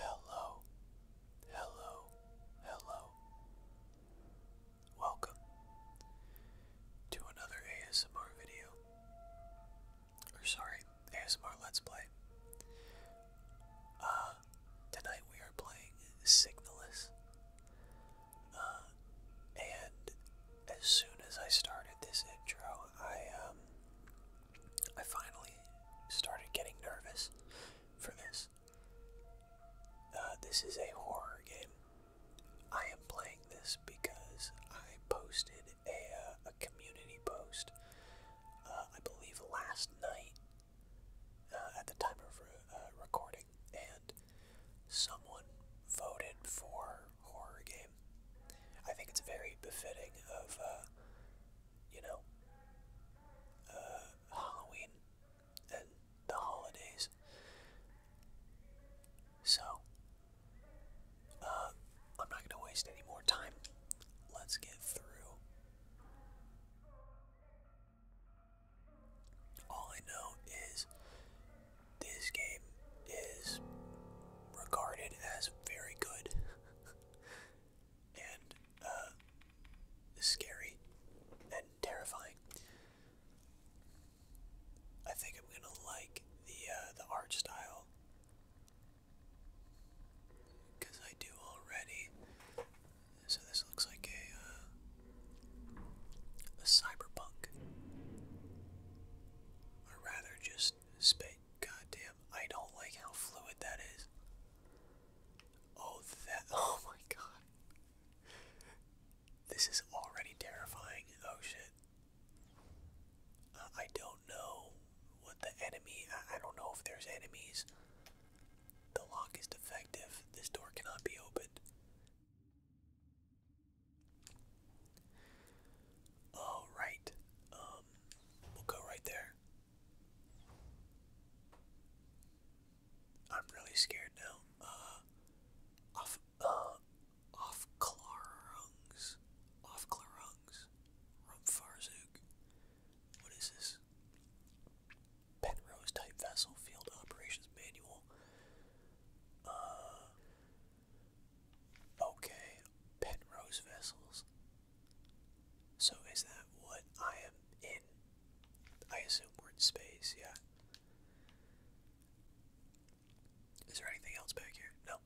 Hello, hello, hello. Welcome to another ASMR video. Or, sorry, more. Let's Play. Uh, tonight we are playing Signalus. Uh, and as soon as I started this intro, I, um, I finally started getting nervous for this. Uh, this is a horror game. I am playing this because I posted a, a community post, I believe last night, uh, at the time of uh, recording, and someone voted for horror game. I think it's very befitting of, uh, you know, Halloween and the holidays. So, I'm not going to waste any more time. Let's get through all I know is this game is regarded as very good and uh, scary and terrifying. I think I'm gonna like the uh, the art style because I do already. So this looks like a, uh, a cyberpunk. Or rather, just spit. Goddamn, I don't like how fluid that is. Oh, that. Oh my god. This is already terrifying. Oh shit. Uh, I don't know what the enemy. I don't know if there's enemies. The lock is defective. This door cannot be opened. All right. Um, we'll go right there. I'm really scared now. Uh, off, uh, off Clarungs, off Clarungs, Rumfarzook. What is this? Penrose type vessel field operations manual. Uh, okay, Penrose vessels. So is that what I am in? I assume we're in space, yeah. Is there anything else back here? No.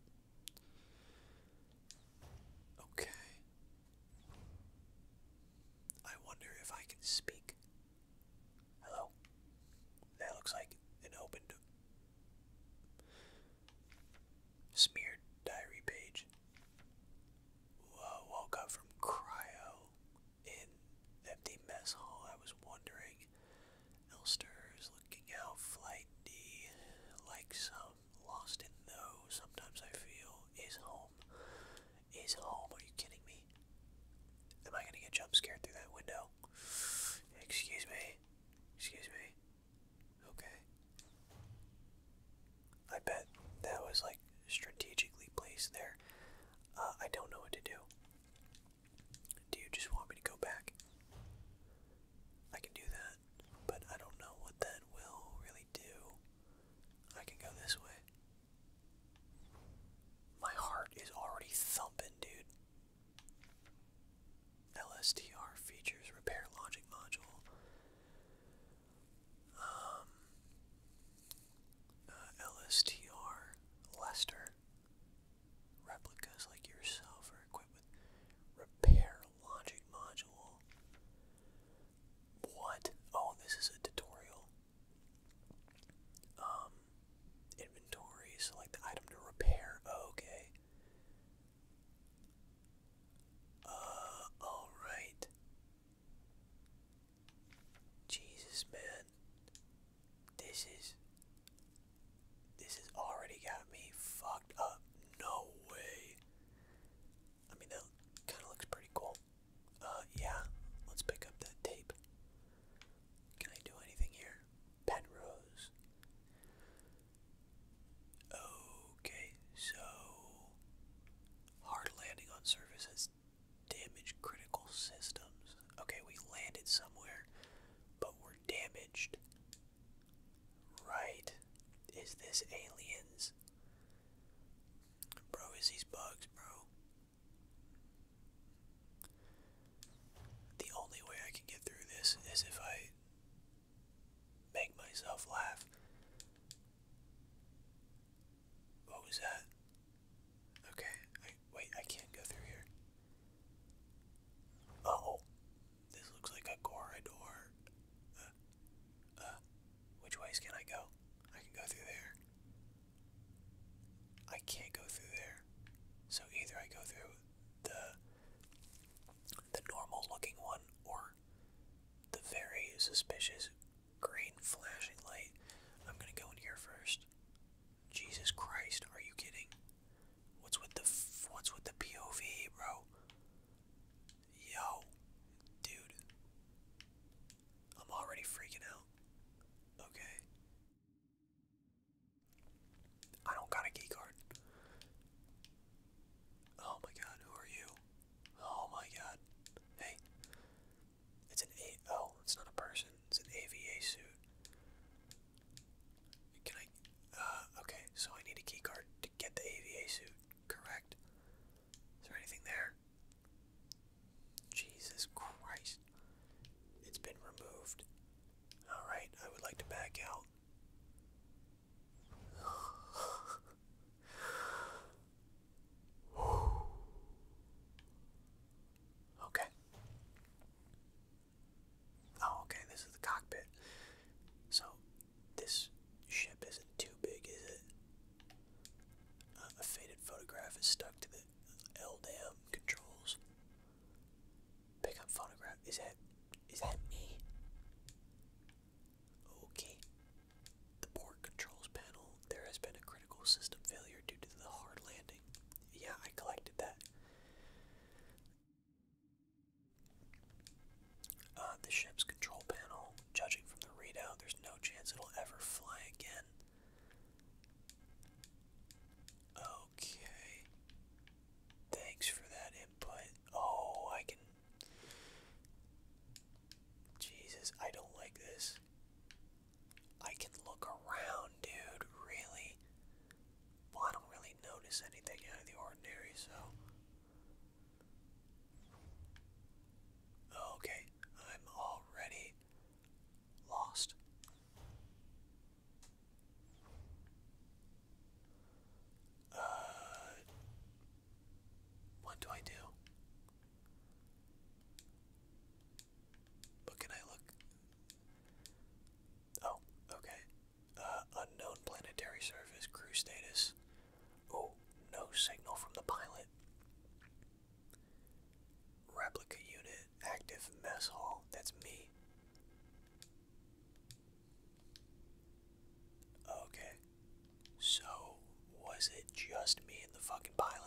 Okay. I wonder if I can speak. Hello? That looks like an opened, smeared diary page. woke up from cryo in empty mess hall. I was wondering. Elster is looking out flight D like some lost in those sometimes I feel is home. Is home, are you kidding me? Am I gonna get jump scared through that window? Excuse me. Excuse me. Okay. I bet that was like strategically placed there. Uh, I don't know what to do. Do you just want me to go back? I can do that but I don't know what that will really do. I can go this way. My heart is already thumping, dude. LSTR features repair logic module. Um, uh, LSTR Lester replicas like yourself are equipped with repair logic module. What? Oh, this is a tutorial. Um, inventory, select the item to repair. Oh, okay. Uh, alright. Jesus, man. This is. This has already got me fucked up. No way. I mean, that kind of looks pretty cool. Uh, yeah, let's pick up that tape. Can I do anything here? Penrose. Okay, so. Hard landing on surfaces, has damaged critical systems. Okay, we landed somewhere, but we're damaged. Right. Is this aliens? Bro, is these bugs, bro. The only way I can get through this is if I make myself laugh. What was that? Okay, I, wait, I can't go through here. oh, this looks like a corridor which ways can I go? I can go through there. I can't go through there. So either I go through the the normal looking one or the very suspicious green flashing light. I'm gonna go in here first. Jesus Christ, are you kidding? What's with the f what's with the POV, bro? Yo, dude. I'm already freaking out. Okay. I don't got a key Oh my god, who are you? Oh my god. Hey. It's an A oh, it's not a person. It's an AVA suit. Can I uh, okay, so I need a key to get the AVA suit. Correct. Is there anything there? Jesus Christ. It's been removed. Alright, I would like to back out. okay. Oh, okay, this is the cockpit. So, this ship isn't too big, is it? Uh, a faded photograph is stuck to the LDAM controls. Pick up photograph. Is that is that me? Okay. The port controls panel. There has been a critical system failure due to the hard landing. Yeah, I collected that. Uh, the ship's control panel, judging from the readout, there's no chance it'll ever fly again. Okay. Thanks for that input. Oh, I can. Jesus, I don't like this. I can look around, dude, really? Well, I don't really notice anything out of the ordinary, so. Okay, I'm already lost. Uh, what do I do? But can I look? Oh, okay. Uh, unknown planetary surface crew status. Oh, no signal from the pilot. Replica unit, active mess hall, that's me. Okay. So, was it just me and the fucking pilot?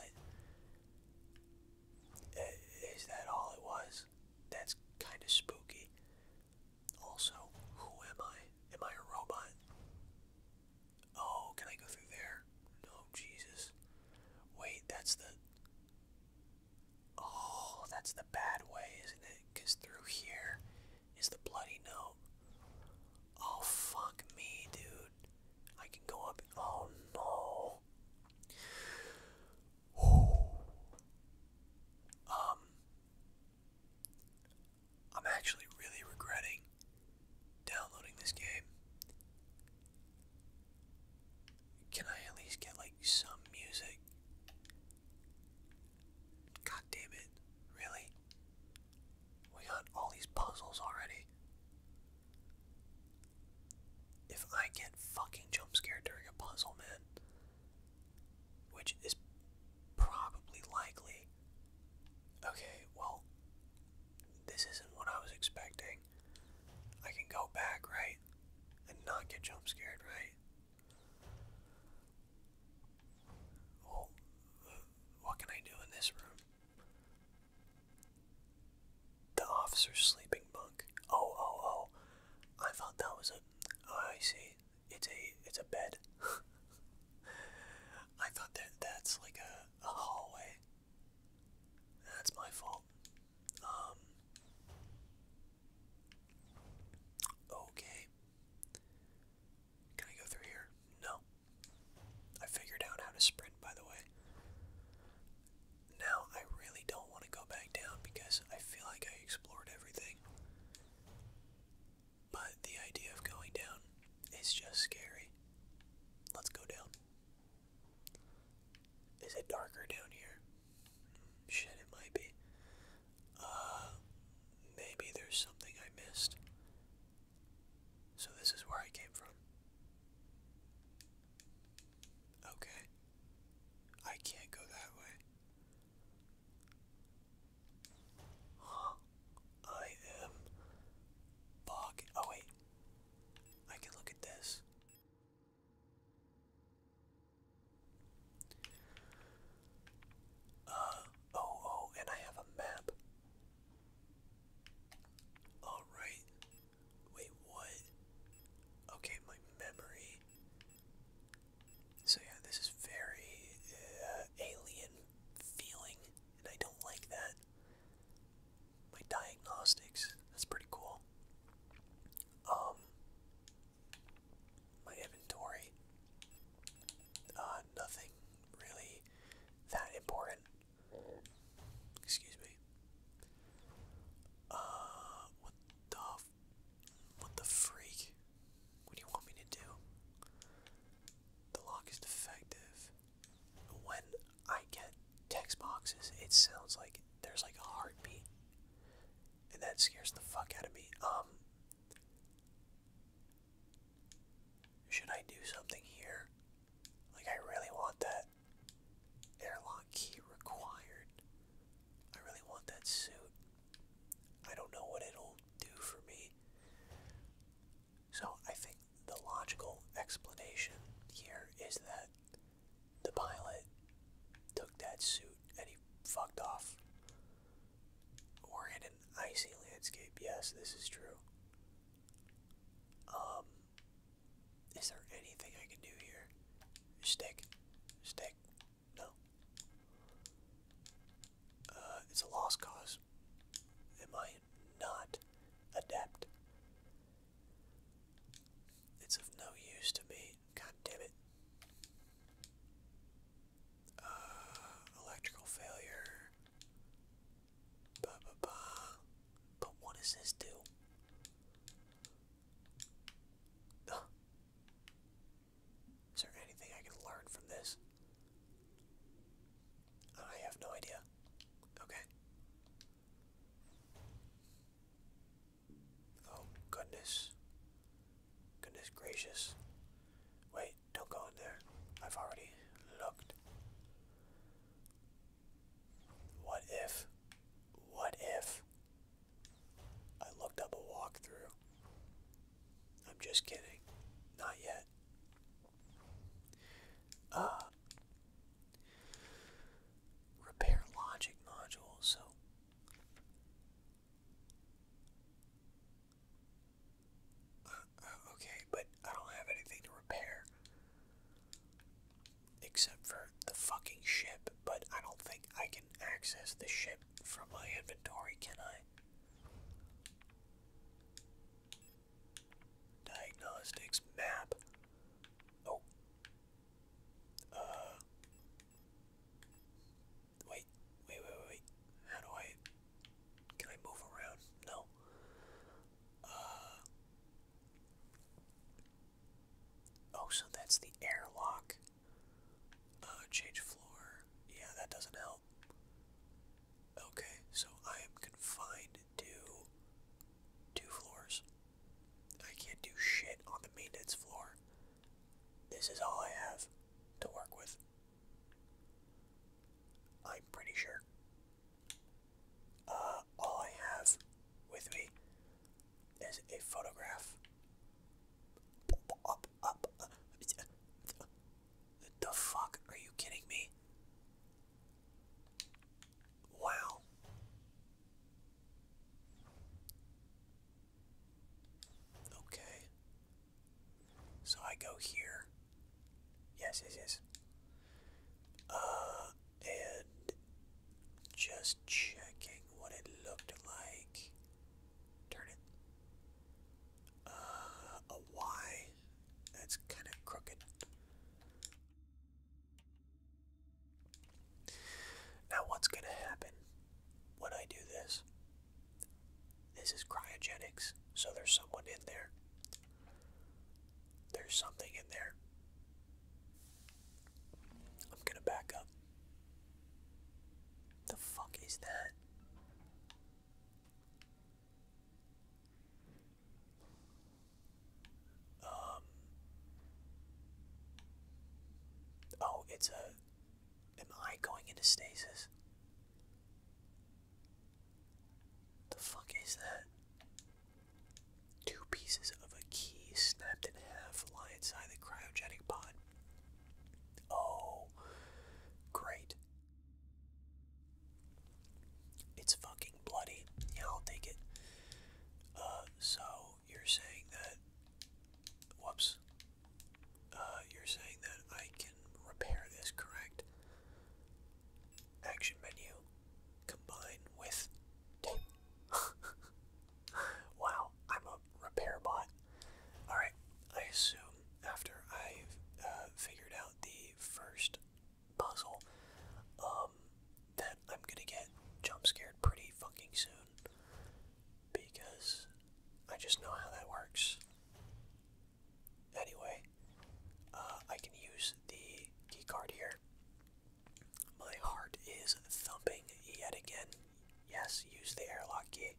Is that all it was? That's kind of spooky. Also, who am I? Am I a robot? Oh, can I go through there? No, Jesus. Wait, that's the. Oh, that's the bad way, isn't it? Because through here is the bloody note. Oh, fuck me, dude. I can go up. Oh, no. Um. I'm actually really regretting downloading this game. Can I at least get like some music? God damn it, really? We got all these puzzles already. If I get fucking jump during a puzzle, man, which is Probably likely. Okay, well, this isn't what I was expecting. I can go back, right? And not get jump scared, right? Well, what can I do in this room? The officer's sleeping bunk. Oh, oh, oh. I thought that was a. Oh, I see it's a it's a bed. I thought that that's like a, a hallway. That's my fault. Um Okay. Can I go through here? No. I figured out how to sprint by the way. Now I really don't want to go back down because I feel like I explored everything. But the idea of going down is just scary. Let's go down. Is it darker down here? Shit, it might be. Uh, maybe there's something I missed. So this is where I came from. Okay. I can't go that way. I am bog. Oh wait. I can look at this. Uh oh oh and I have a map. Alright. Wait, what? Okay, my memory so yeah, this is very uh, alien feeling, and I don't like that. My diagnostics, that's pretty cool. Um, my inventory, uh, nothing really that important. Excuse me. Uh, what the, what the freak? What do you want me to do? The lock is defective. When I get text boxes, it sounds like there's like a heartbeat. And that scares the fuck out of me. Um Should I do something here? Like I really want that airlock key required. I really want that suit. I don't know what it'll do for me. So I think the logical explanation here is that the pilot took that suit and he fucked off. we in an icy landscape. Yes, this is true. Um, is there anything I can do here? Stick, stick, no. Uh, it's a lost cause. Am I not adept? It's of no use to me. God damn it. Uh, electrical failure. Bah, bah, bah. But what does this do? Is there anything I can learn from this? I have no idea. Okay. Oh, goodness. Goodness gracious. Wait, don't go in there. I've already looked. What if? What if? I looked up a walkthrough I'm just kidding. Not yet. Uh, repair logic module, so. Uh, okay, but I don't have anything to repair. Except for the fucking ship, but I don't think I can access the ship from my inventory, can I? Diagnostics map. Oh. Uh. Wait, wait, wait, wait. How do I. Can I move around? No. Uh. Oh, so that's the airlock. Uh, change floor. Yeah, that doesn't help. Okay, so I am confined to two floors. I can't do shit on the maintenance floor. This is all I have to work with. I'm pretty sure. Uh, all I have with me is a photograph. The fuck? Are you kidding me? Wow. Okay. So I go here. Yes, yes, yes. Uh, and just checking what it looked like. Turn it. Uh, a Y. That's kind of crooked. Now, what's going to happen when I do this? This is cryogenics, so there's someone in there. There's something in there. I'm going to back up. The fuck is that? Um, oh, it's a. Am I going into stasis? The fuck is that? Two pieces of a key snapped in half lie inside the cryogenic pod. Oh, great. It's fucking bloody. I'll take it. Uh, so you're saying that. Whoops. Uh, you're saying that I can repair this, correct? Action menu. Combine with wow, I'm a RepairBot. Alright, I assume after I've uh, figured out the first puzzle um, that I'm gonna get jump scared pretty fucking soon. Because I just know how that works. Anyway, uh, I can use the keycard here. My heart is thumping yet again. Yes, use the airlock key.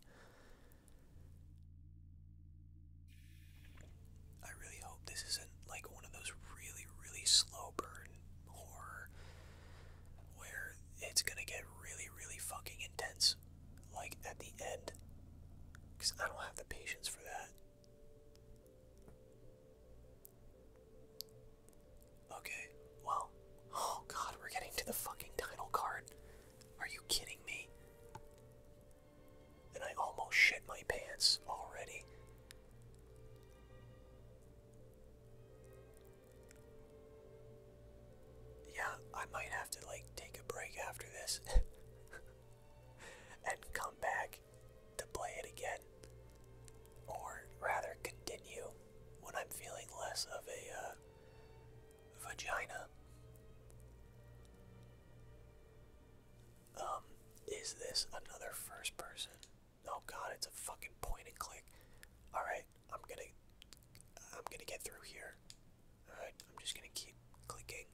I really hope this isn't like one of those really, really slow burn horror where it's gonna get really, really fucking intense, like at the end. Because I don't have the patience for that. Okay, well, oh god, we're getting to the fucking title card. Are you kidding me? And I almost shit my pants already. Yeah, I might have to like take a break after this and come back to play it again. Or rather, continue when I'm feeling less of a uh, vagina. Um, is this another first person? Oh god, it's a fucking point and click. Alright, I'm gonna I'm gonna get through here. Alright, I'm just gonna keep clicking.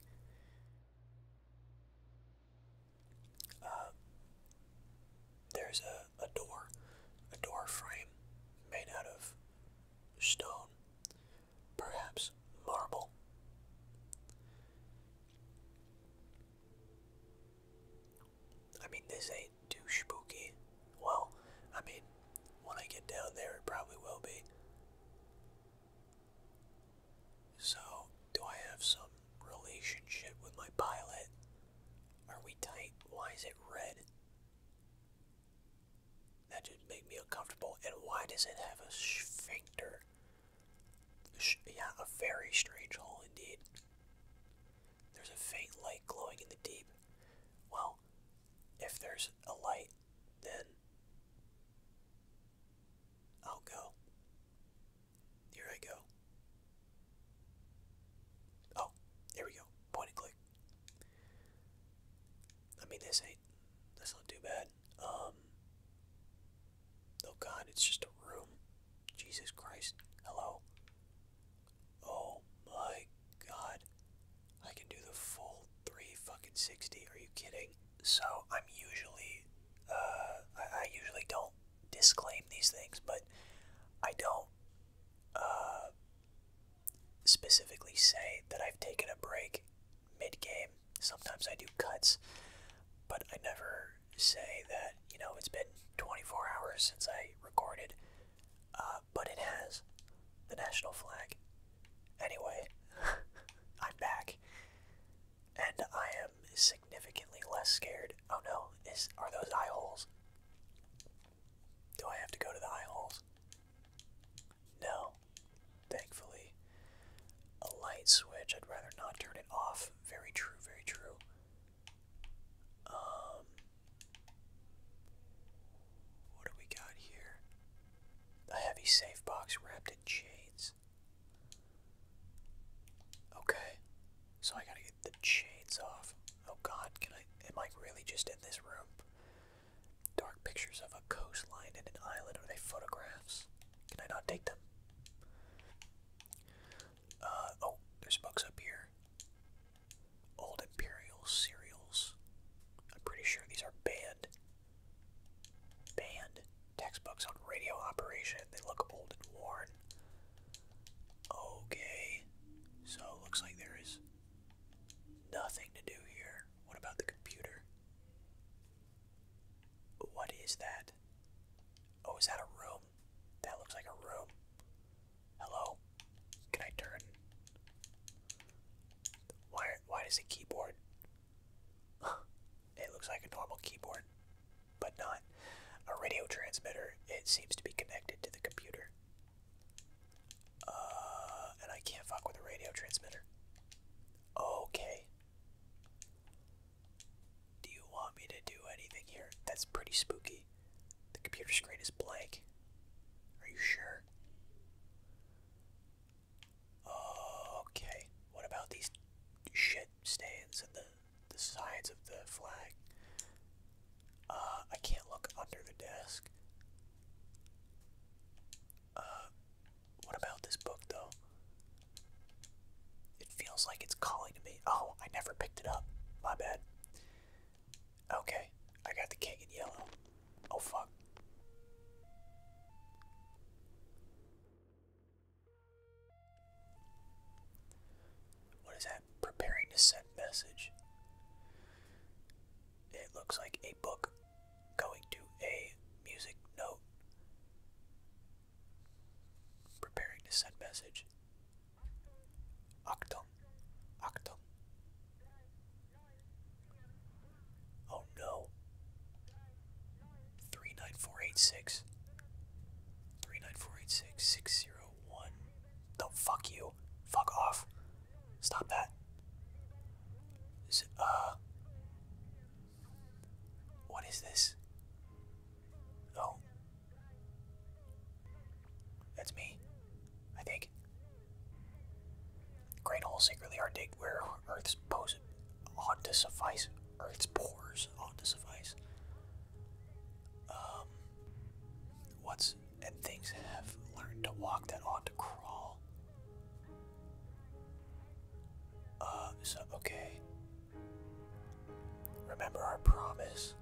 Uh there's a, a door. A door frame made out of stone perhaps marble. I mean, this ain't too spooky. Well, I mean, when I get down there, it probably will be. So, do I have some relationship with my pilot? Are we tight? Why is it red? That just made me uncomfortable. And why does it have a sphincter? Yeah, a very strange hole indeed. There's a faint light glowing in the deep. Well, if there's a light, then I'll go. Here I go. Oh, there we go. Point and click. I mean, this ain't. That's not too bad. Um. Oh God, it's just a room. Jesus Christ. Hello. Oh my God. I can do the full three fucking sixty. Are you kidding? So I'm usually, uh, I, I usually don't disclaim these things, but I don't, uh, specifically say that I've taken a break mid game. Sometimes I do cuts, but I never say that, you know, it's been 24 hours since I recorded, uh, but it has the national flag. Anyway, I'm back, and I am significantly less scared. Oh no, is are those eye holes? Do I have to go to the eye holes? No. Thankfully. A light switch, I'd rather not turn it off. Very true, very true. Um What do we got here? A heavy safe box wrapped in chains. Okay. So I gotta get the chains off. Oh god, can I am I really just in this room? Dark pictures of a coastline and an island. Are they photographs? Can I not take them? Uh, oh, there's books up here. Old Imperial cereals. I'm pretty sure these are banned. Banned. Textbooks on radio operation. They look old and worn. Okay. So, looks like there is nothing to do here. What about the computer? What is that? Oh, is that a room? That looks like a room. Hello? Can I turn? Why, why does a keyboard? it looks like a normal keyboard, but not. A radio transmitter, it seems to be connected to the computer. Uh, and I can't fuck with a radio transmitter. Okay. Do you want me to do anything here? That's pretty spooky. The computer screen is blank. Are you sure? Okay. What about these shit stands and the the sides of the flag? Uh, I can't look under the desk. Uh, what about this book though? It feels like it's calling to me. Oh, I never picked it up. My bad. Okay, I got the king in yellow. Oh fuck. What is that? Preparing to send message. It looks like book, going to a music note, preparing to send message. Achtung, Achtung. Oh no. 39486. 39486. 601. No, fuck you. Fuck off. Stop that. Is it, uh. What is this? Oh. That's me. I think. Great holes secretly are digged where Earth's pose ought to suffice. Earth's pores ought to suffice. Um. What's and things have learned to walk that ought to crawl. Uh, so, okay. Remember our promise.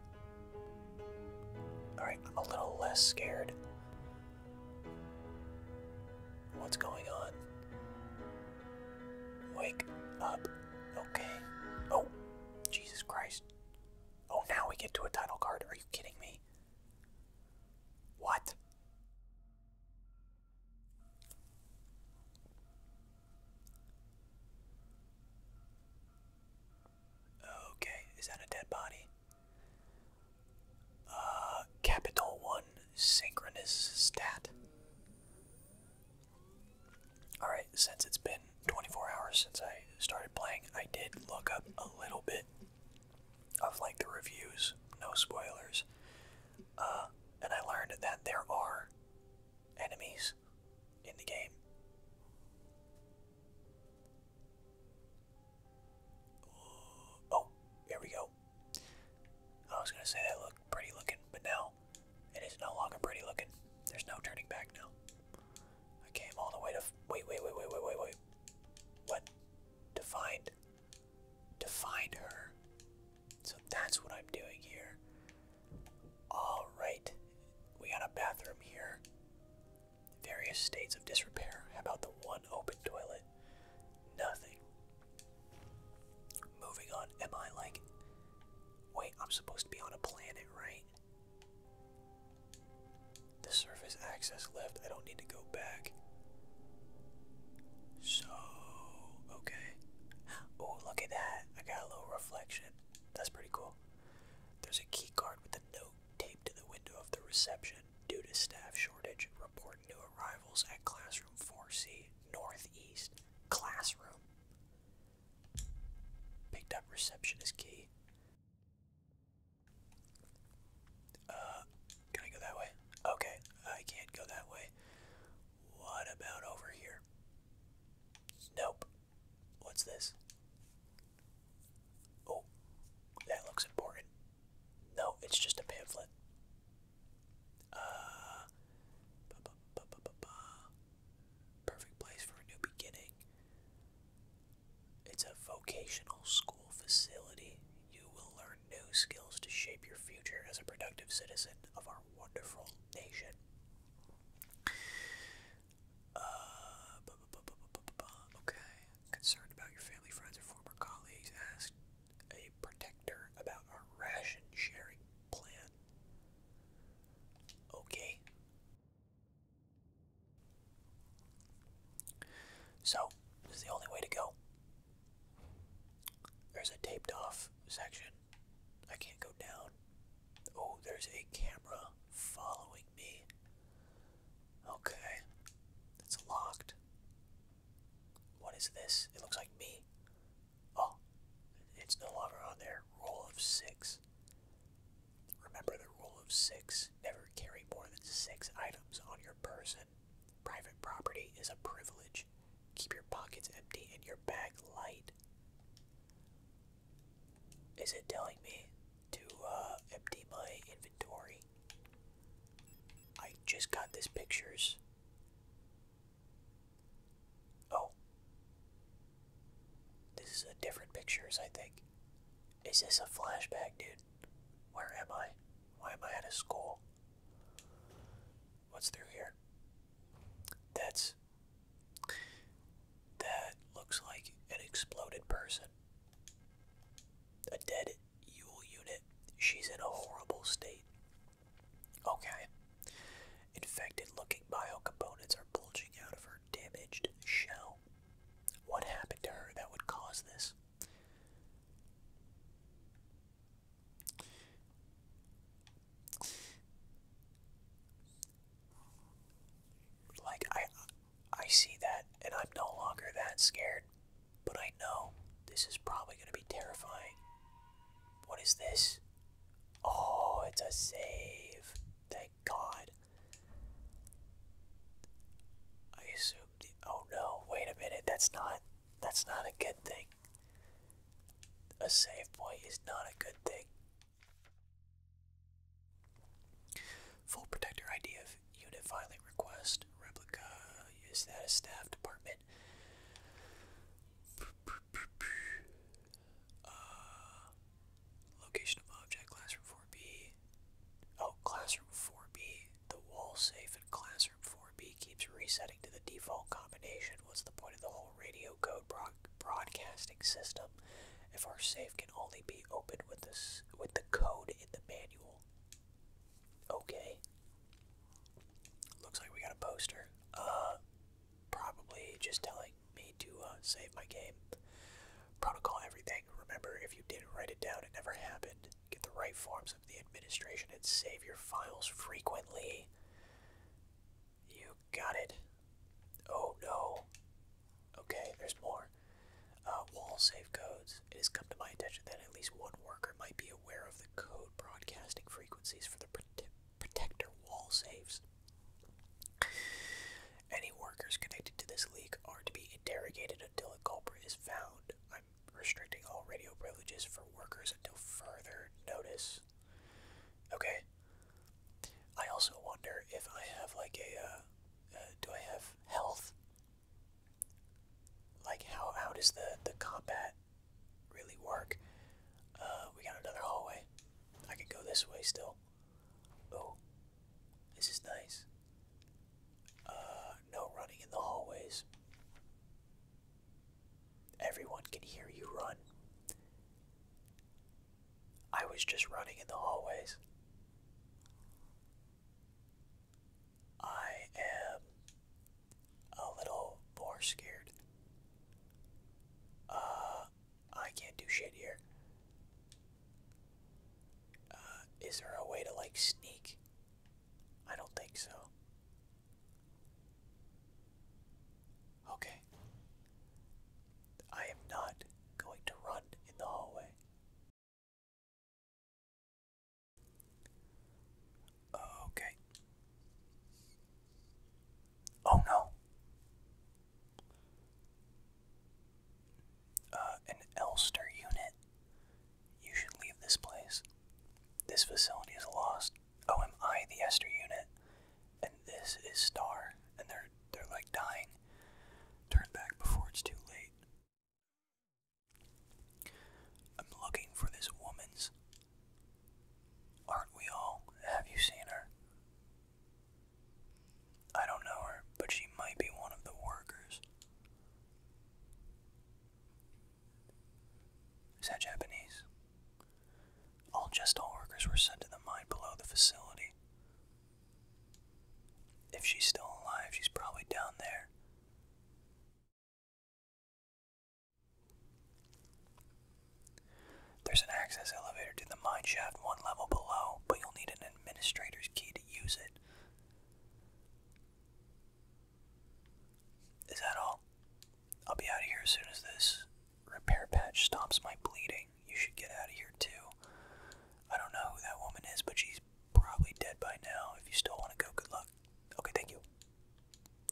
Alright, I'm a little less scared. What's going on? Wake up. Okay. Oh, Jesus Christ. Oh, now we get to a title card. Are you kidding me? What? Okay, is that a dead body? Uh, Capital One synchronous stat. Alright, since it's been 24 hours since I started playing, I did look up a little bit of like the reviews, no spoilers. Uh, and I learned that there are enemies in the game. Oh, here we go. I was gonna say that looked pretty looking, but now it is no longer pretty looking. There's no turning back now. I came all the way to. Wait, wait, wait, wait, wait, wait, wait. What? to find to find her. So that's what I'm doing here. All right. We got a bathroom here. Various states of disrepair. How about the one open toilet? Nothing. Moving on. Am I like Wait, I'm supposed to be on a planet, right? The surface access left. I don't need to go back. So, okay. Oh, look at that. I got a little reflection. That's pretty cool. There's a key card with a note taped to the window of the reception. Due to staff shortage, report new arrivals at classroom 4C, northeast. Classroom. Picked up receptionist key. Uh, can I go that way? Okay, I can't go that way. What about over here? Nope. What's this? Oh, that looks important. No, it's just a pamphlet. Uh, Perfect place for a new beginning. It's a vocational school facility. You will learn new skills to shape your future as a productive citizen of our wonderful nation. Uh, Okay. Concerned about your family, friends, or former colleagues, asked a protector about our ration sharing plan. Okay. So, this is the only way to go. There's a taped off section. I can't go down. Oh, there's a camera following me. Okay. It's locked. What is this? It looks like me. Oh, it's no longer on there. Rule of six. Remember the rule of six never carry more than six items on your person. Private property is a privilege. Keep your pockets empty and your bag light. Is it telling me to uh, empty my inventory? I just got these pictures. Oh. This is a different pictures, I think. Is this a flashback, dude? Where am I? Why am I at a school? What's through here? That's. That looks like an exploded person. A dead Yule unit. She's in a horrible state. Okay. Infected looking bio components are bulging out of her damaged shell. What happened to her that would cause this? Like I I see that and I'm no longer that scared, but I know this is probably going to be terrifying. What is this? Oh, it's a save. Thank God. I assume the oh no, wait a minute, that's not that's not a good thing. A safe point is not a good thing. Full protector ID of unit filing request. Replica is that a staff department? Uh, location of object, classroom 4B. Oh, classroom 4B. The wall safe in classroom 4B keeps resetting to the default combination. What's the point of the whole radio code broad broadcasting system if our safe can only be opened with this with the code in the manual? Okay. Looks like we got a poster. Uh, probably just telling me to uh, save my game. Protocol everything. Remember, if you didn't write it down, it never happened. Get the right forms of the administration and save your files frequently. You got it. Oh no. Okay, there's more. Uh, wall save codes. It has come to my attention that at least one worker might be aware of the code broadcasting frequencies for the protector wall saves. Any workers connected to this leak are to be interrogated until a culprit is found. I'm restricting all radio privileges for workers until further notice. Okay. I also wonder if I have like a, uh, uh, do I have health? Like how how does the the combat really work? Uh, we got another hallway. I can go this way still. Oh, this is nice. Uh, no running in the hallways. Everyone can hear you run. I was just running in the hallways. I am a little more scared. Uh, I can't do shit here. Uh, is there a way to like sneak? I don't think so. Okay. I am not going to run in the hallway. Okay. Oh no. Uh, an Elster unit, you should leave this place. This facility is lost. Oh, am I the Ester unit? And this is Star, and they're they're like dying. Turn back before it's too late. I'm looking for this woman's. Aren't we all? Have you seen her? I don't know her, but she might be one of the workers. Is that Japanese? All just all workers were sent to the mine below the facility. If she's still alive, she's probably down there. There's an access elevator to the mine shaft one level below, but you'll need an administrator's key to use it. Is that all? I'll be out of here as soon as this repair patch stops my bleeding. You should get out of here too. I don't know who that woman is, but she's probably dead by now. If you still want to go, good luck. Okay, thank you.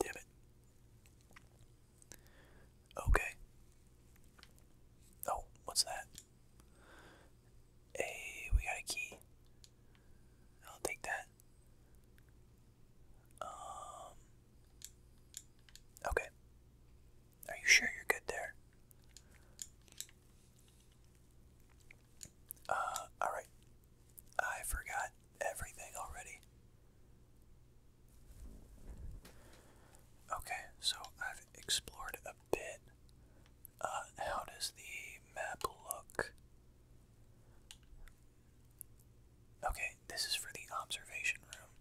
Damn it. Okay. Oh, what's that? Hey, we got a key. I'll take that. Um. Okay. Are you sure you're good there? Uh, alright. I forgot everything already. Okay, so I've explored a bit. Uh, how does the map look? Okay, this is for the observation room.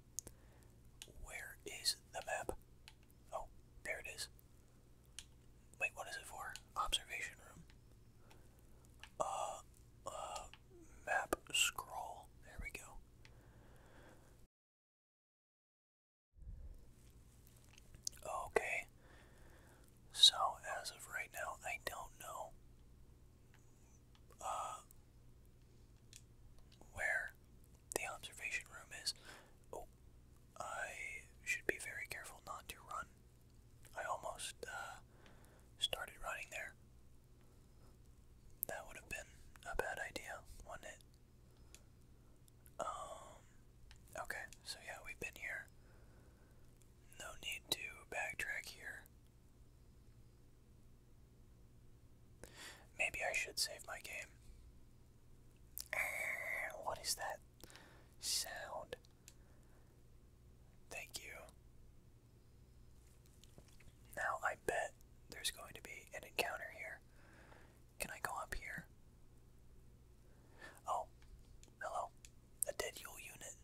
Where is the map? Oh, there it is. Wait, what is it for? Observation room. Uh, uh, map scroll. There we go. Okay, so as of right now, I don't know uh, where the observation room is. Oh, I should be very careful not to run. I almost uh, started running there. That would have been a bad idea, wouldn't it? Um, okay, so yeah, we've been here. No need to backtrack here. Maybe I should save my game. What is that sound? Thank you. Now I bet there's going to be an encounter here. Can I go up here? Oh, hello. A dead Yule unit.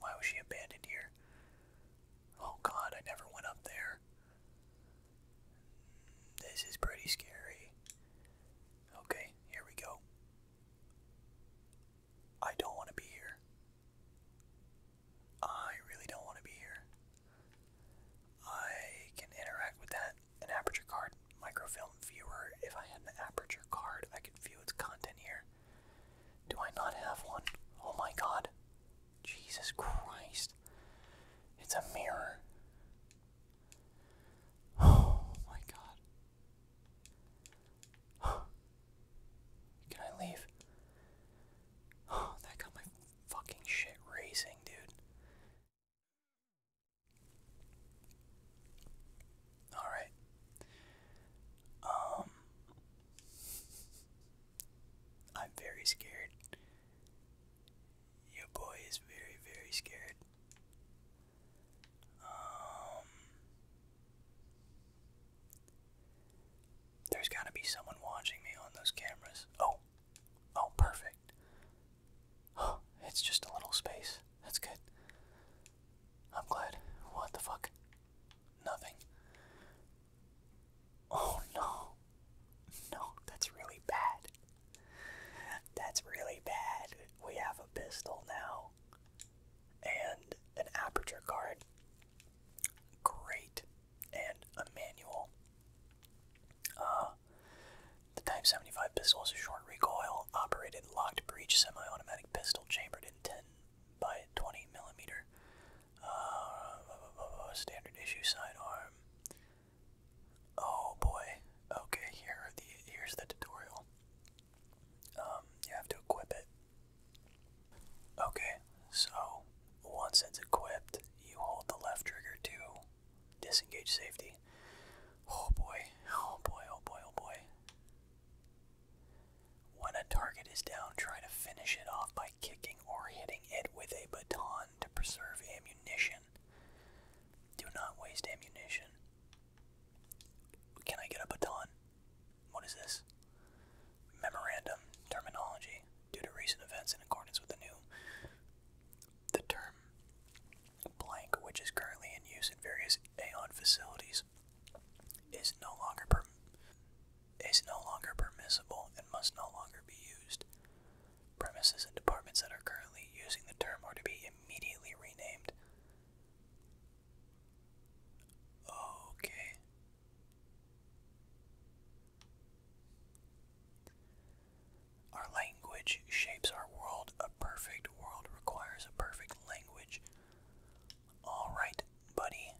Why was she abandoned here? Oh god, I never went up there. This is pretty scary. Okay, here we go. I don't want to be here. I really don't want to be here. I can interact with that an aperture card microfilm viewer. If I had an aperture card, I could view its content here. Do I not have one? Oh my god. Jesus Christ. It's a mirror. Oh my god. Can I leave? Oh, that got my fucking shit racing, dude. All right. Um, I'm very scared. Your boy is very, very scared. Um, there's got to be someone watching me on those cameras. Oh. Oh, perfect. Oh, it's just a little space. That's good. I'm glad. What the fuck? Nothing. Oh no. No, that's really bad. That's really bad. We have a pistol now. And an aperture card. Great. And a manual. Uh the Type 75 pistol is a short recoil, operated locked breech semi-automatic pistol chambered in 10 by 20 millimeter. Uh, standard issue sidearm. Oh boy. Okay, here the here's the tutorial. Um, you have to equip it. Okay, so once it's equipped, you hold the left trigger to Disengage safety. Oh boy. Oh boy. Oh boy. Oh boy. When a target is down, try to finish it off by kicking or hitting it with a baton to preserve ammunition. Do not waste ammunition. Can I get a baton? What is this? Memorandum terminology. Due to recent events in accordance with the new the term blank, which is currently in use in various Aeon facilities, is no longer per is no longer permissible and must no longer be used. Premises and departments that are currently using the term are to be immediately renamed. Okay. Our language shapes our world. A perfect world requires a perfect language. Alright, buddy.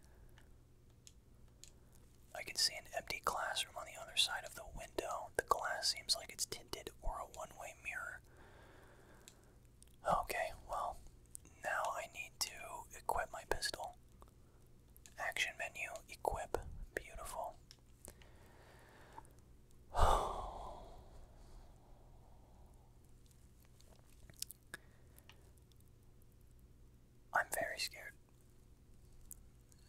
I can see an empty classroom on the other side of the window. The glass seems like it's tinted or a one way mirror. Okay, well, now I need to equip my pistol. Action menu, equip. Beautiful. I'm very scared.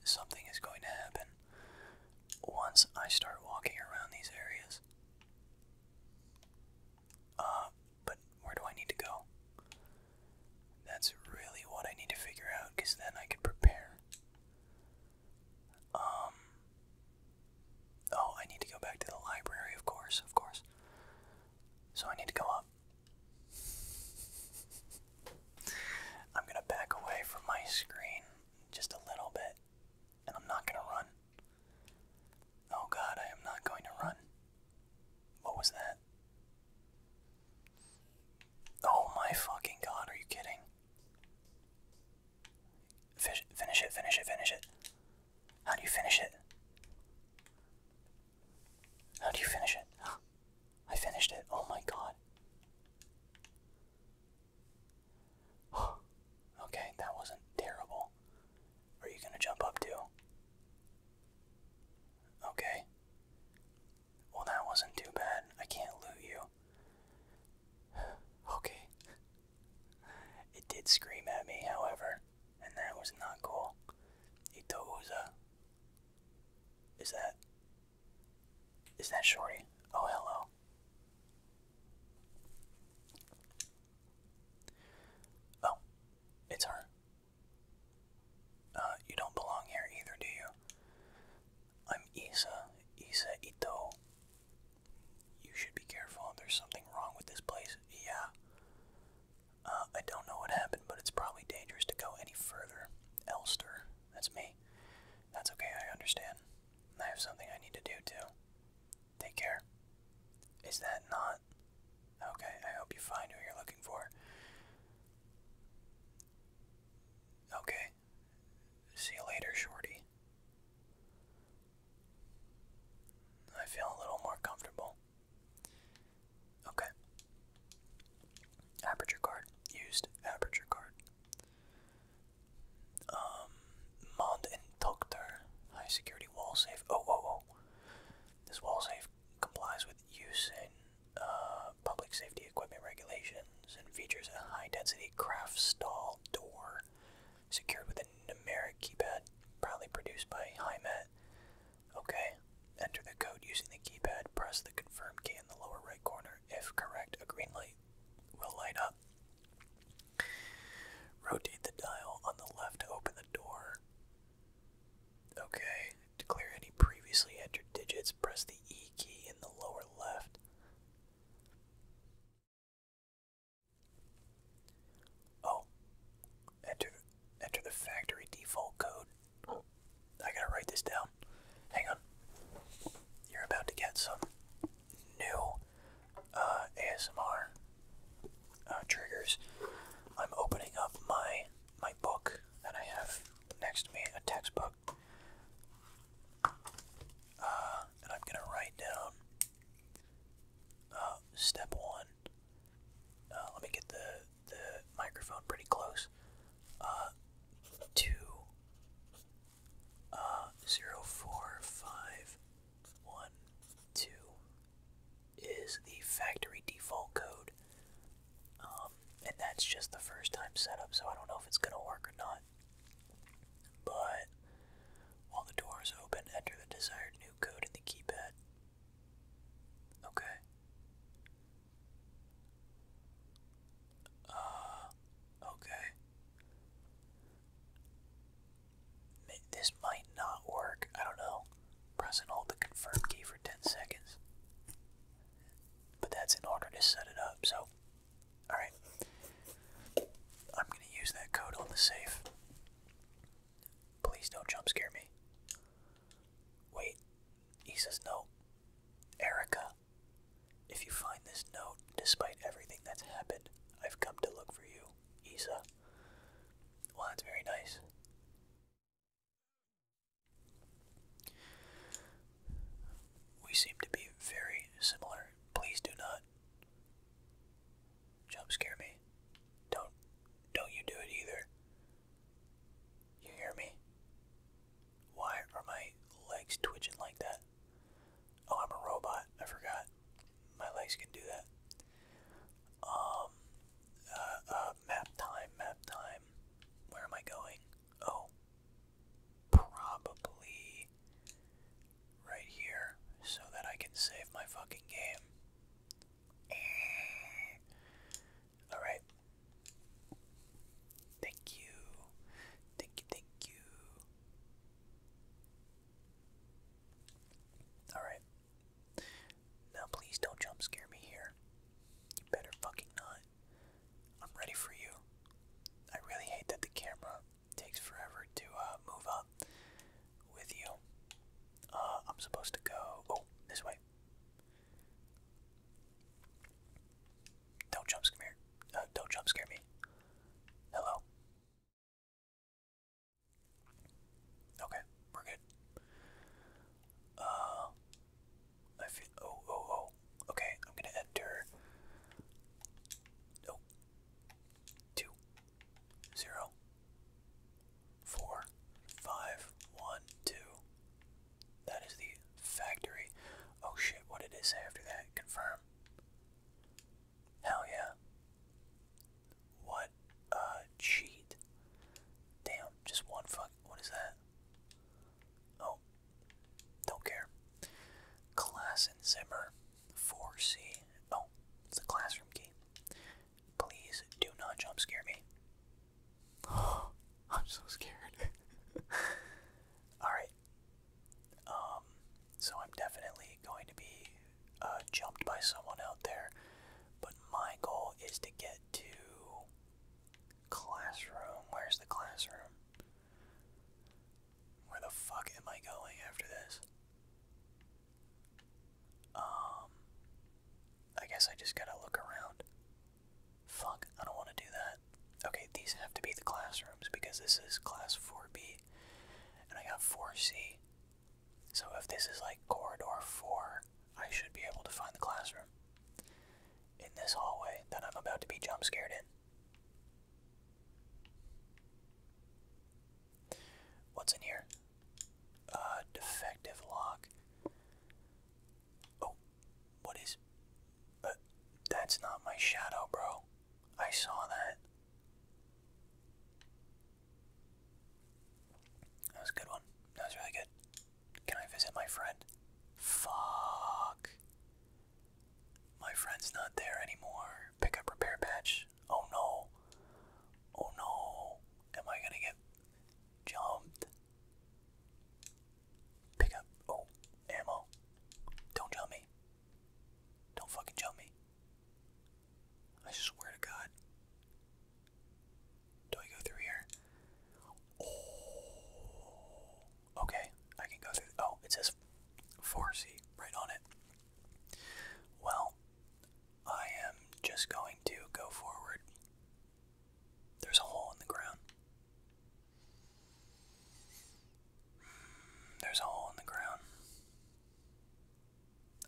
Something is going to happen once I start walking around these areas. Uh, but where do I need to go? That's really what I need to figure out because then I can prepare. Um, oh, I need to go back to the library, of course, of course. So I need to go up. I'm gonna back away from my screen just a little bit, and I'm not gonna run. Oh god, I am not going to run. What was that? Oh my fucking god, are you kidding? Fish, finish it, finish it, finish it. How do you finish it? How do you finish it? I finished it. Oh my god. okay, that wasn't terrible. Are you gonna jump up too? Okay. Well, that wasn't too bad. I can't loot you. okay. It did scream at me, however, and that was not cool. Itouza. Is that. Is that Shorty? Oh, hello. Oh, it's her. Uh, you don't belong here either, do you? I'm Isa, Isa Ito. You should be careful. There's something wrong with this place. Yeah. Uh, I don't know what happened, but it's probably dangerous to go any further. Elster, that's me. That's okay, I understand. I have something I need to do too. Take care. Is that not? Okay, I hope you find who you're looking for. Okay, See you later, Shorty. I feel a little more comfortable. Okay. Aperture card. Used aperture card. Um, Mond and Doctor. High security wall safe. Oh, oh, oh. This wall safe complies with use in uh, public safety equipment regulations and features a high-density craft stall door secured with a numeric keypad, probably produced by HiMet. Okay, enter the code using the keypad, press the confirm key in the lower right corner. If correct, a green light will light up. Rotate the dial on the left to open the door. Okay, to clear any previously entered digits, press the E key in the lower left. Oh, enter enter the factory default code. I gotta write this down. Hang on. You're about to get some new uh, ASMR uh, triggers. I'm opening up my my book that I have next to me, a textbook. Uh, and I'm gonna write down uh, step one. Uh, let me get the the microphone pretty close. Uh, two, uh, zero, four, five, one, two is the factory default code. Um, and that's just the first time setup, so I don't know if it's gonna work or not. But while the door is open, enter the desired new code in the keypad. Okay. Uh, okay. This might not work. I don't know. Press and hold the confirm key for 10 seconds. But that's in order to set it up, so Alright. I'm going to use that code on the safe. Please don't jump scare me. Wait. He says no. Erica, if you find this note, despite everything that's happened, I've come to look for you, Isa. Well, that's very nice. We seem to be very similar. Please do not jump scare me. Don't don't you do it either. You hear me? Why are my legs twitching like that? Oh, I'm a robot. I forgot. My legs can do that. Um, uh, uh map time, map time. Where am I going? Oh, probably right here so that I can save my fucking game. Eh. Alright. Thank you. Thank you, thank you. Alright. Now please don't jump scare me here. You better fucking not. I'm ready for you. I really hate that the camera takes forever to uh, move up with you. Uh, I'm supposed to go. Oh, this way. Don't jump scare. Uh, don't jump scare me. Hello. Okay, we're good. Uh, I feel. Oh, oh, oh. Okay, I'm gonna enter. Oh. Two. That is the factory. Oh shit, what did after that? Confirm. Hell yeah. What a cheat. Damn, just one fuck. What is that? Oh, don't care. Class and Zimmer, 4C. Oh, it's a classroom key. Please do not jump scare me. Oh, I'm so scared. Alright. Um, so I'm definitely going to be uh, jumped by someone out there, but my goal is to get to classroom. Where's the classroom? Where the fuck am I going after this? Um, I guess I just gotta look around. Fuck, I don't want to do that. Okay, these have to be the classrooms because this is class 4B and I got 4C. So if this is like corridor 4, I should be able to find the classroom in this hallway that I'm about to be jumpscared in. What's in here? Uh, defective lock. Oh, what is? Uh, that's not my shadow, bro. I saw that. That was a good one. That was really good. Can I visit my friend? Fuck. My friend's not there anymore. Pick up repair patch. Oh no. Oh no. Am I gonna get jumped? Pick Oh, ammo. Don't jump me. Don't fucking jump me. I swear to God. Do I go through here? Oh okay, I can go through. Oh, it says 4C right on it. Well, I am just going to go forward. There's a hole in the ground. Hmm, there's a hole in the ground.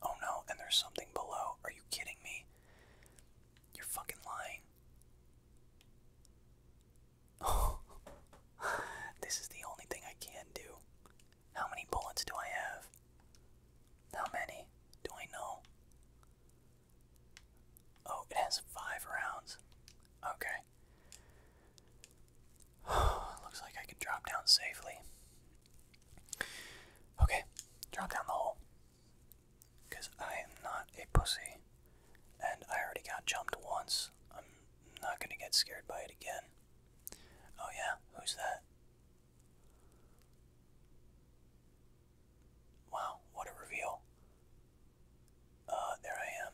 Oh no, and there's something below. Are you kidding me? You're fucking lying. this is the only thing I can do. How many bullets do I have? How many do I know? Oh, it has five rounds. Okay. Looks like I can drop down safely. Okay, drop down the hole. Because I am not a pussy. And I already got jumped once, I'm not gonna get scared by it again. Oh, yeah, who's that? Wow, what a reveal. Uh, there I am.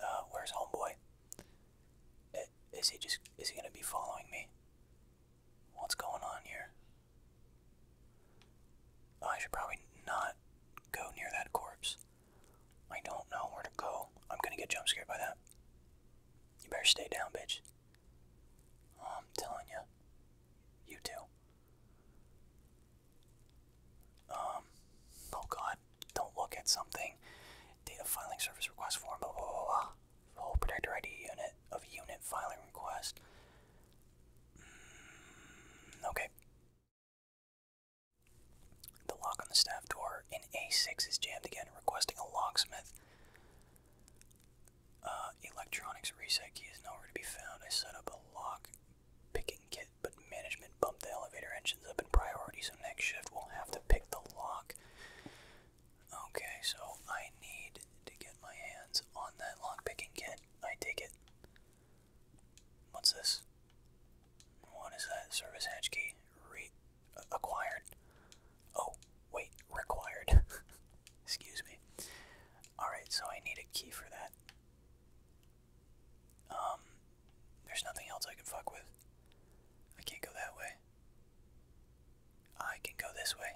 Uh, where's homeboy? Is he just, is he gonna be following me? What's going on here? I should probably not go near that corpse. I don't know where to go. I'm gonna get jumpscared by that. You better stay down, bitch. I'm telling you. You too. Um, oh god, don't look at something. Data filing service request form, blah blah protector ID unit of unit filing request. Mm, okay. The lock on the staff door in A6 is jammed again, requesting a locksmith. Uh, electronics reset key is nowhere to be found. I set up a lock picking kit, but management bumped the elevator engines up in priority, so next shift will have to pick the lock. Okay, so I need to get my hands on that lock picking kit. I take it. What's this? What is that? Service hatch key. Re Oh, wait, required. Excuse me. Alright, so I need a key for that. Um, there's nothing else I can fuck with. I can't go that way. I can go this way.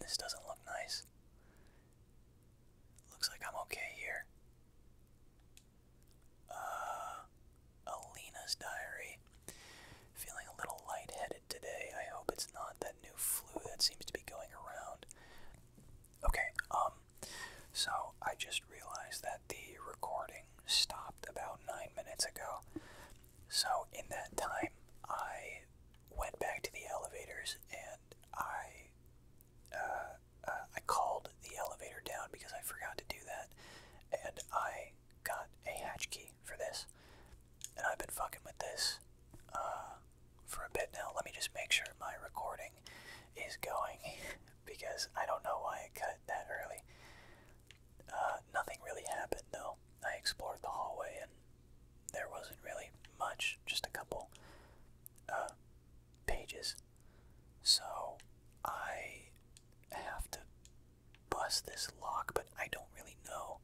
This doesn't look nice. Looks like I'm okay here. Uh, Alina's diary. Feeling a little lightheaded today. I hope it's not that new flu that seems to be going around. Okay, um, so I just realized that the recording stopped about nine minutes ago. So in that time, I went back to the elevators and I uh, uh, I called the elevator down because I forgot to do that, and I got a hatch key for this, and I've been fucking with this uh, for a bit now. Let me just make sure my recording is going because I don't know why it cut that early. nothing really happened though. I explored the hallway and there wasn't really much, just a couple uh, pages. So I have to bust this lock, but I don't really know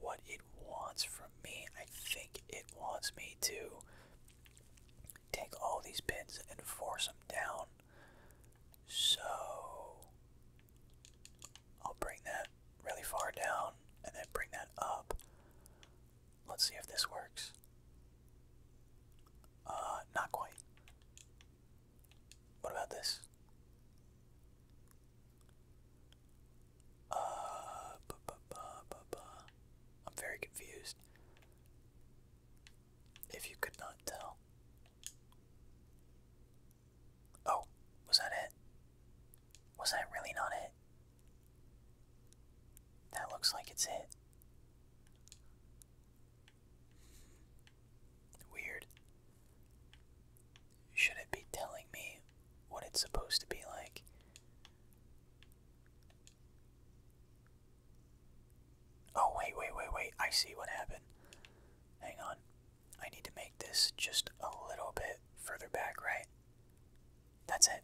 what it wants from me. I think it wants me to take all these pins and force them down. So I'll bring that really far down and then bring that up. Let's see if this works. Uh, not quite. What about this? Uh, bu -bu -bu -bu -bu. I'm very confused. If you could not tell. Oh, was that it? Was that really not it? That looks like it's it. Weird. Should it be telling me what it's supposed to be like? Oh, wait, wait, wait, wait. I see what happened. Hang on. I need to make this just a little bit further back, right? That's it.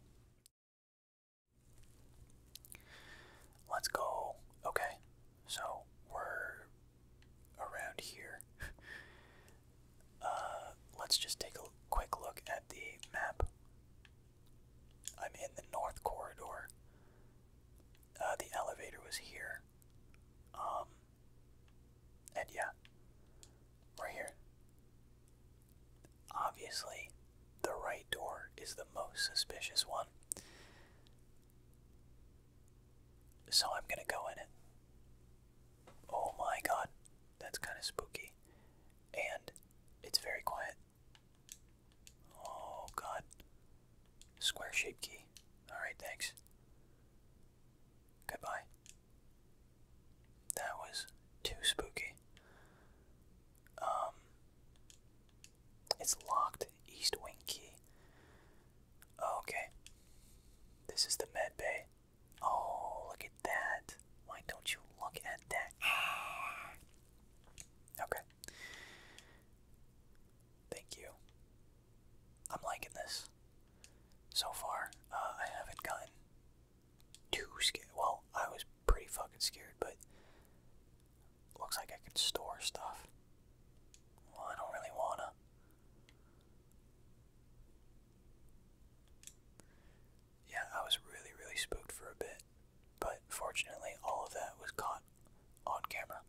Let's go. Okay, so we're around here. Uh, let's just take a quick look at the map. I'm in the north corridor. Uh, the elevator was here. Um, and yeah, we're here. Obviously, the right door is the most suspicious one. So I'm gonna go in it. Oh my god, that's kind of spooky. And it's very quiet. Oh god. Square shape key. Alright, thanks. Goodbye. That was too spooky. Um, it's locked. East wing key. Oh, okay. This is the med bay. Oh, look at that. Why don't you look at that? Okay. Thank you. I'm liking this. So far, uh, I haven't gotten too scared. Well, I was pretty fucking scared, but looks like I can store stuff. Well, I don't really wanna. Yeah, I was really, really spooked for a bit, but fortunately, all of that was caught on camera.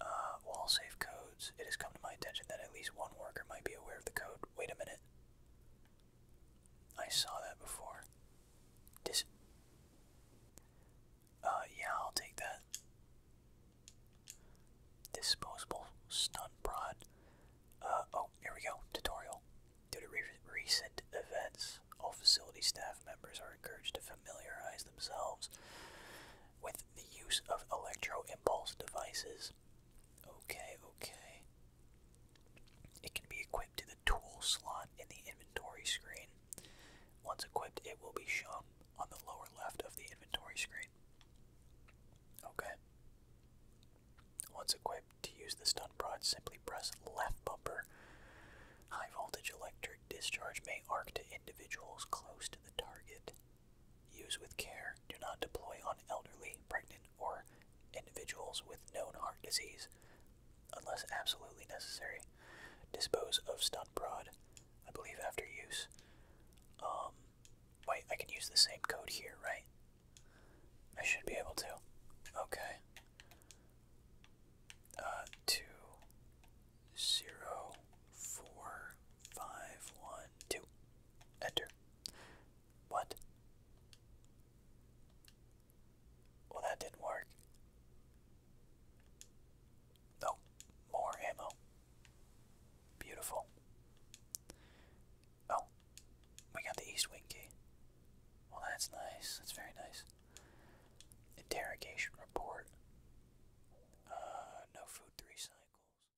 Uh, wall safe codes. It is my attention that at least one worker might be aware of the code. Wait a minute. I saw that before. Dis uh, yeah, I'll take that. Disposable stun prod. Uh, oh, here we go. Tutorial. Due to re recent events, all facility staff members are encouraged to familiarize themselves with the use of electro impulse devices Okay, okay. It can be equipped to the tool slot in the inventory screen. Once equipped, it will be shown on the lower left of the inventory screen. Okay. Once equipped, to use the stun prod, simply press left bumper. High voltage electric discharge may arc to individuals close to the target. Use with care. Do not deploy on elderly, pregnant, or individuals with known heart disease unless absolutely necessary. Dispose of stun prod, I believe, after use. Um, wait, I can use the same code here, right? I should be able to. Okay. Uh, two, zero, four, five, one, two. Enter. What? Well, that didn't work. Oh, more ammo. Beautiful. Oh, we got the East Winky. Well, that's nice. That's very nice. Interrogation report. Uh, no food three cycles.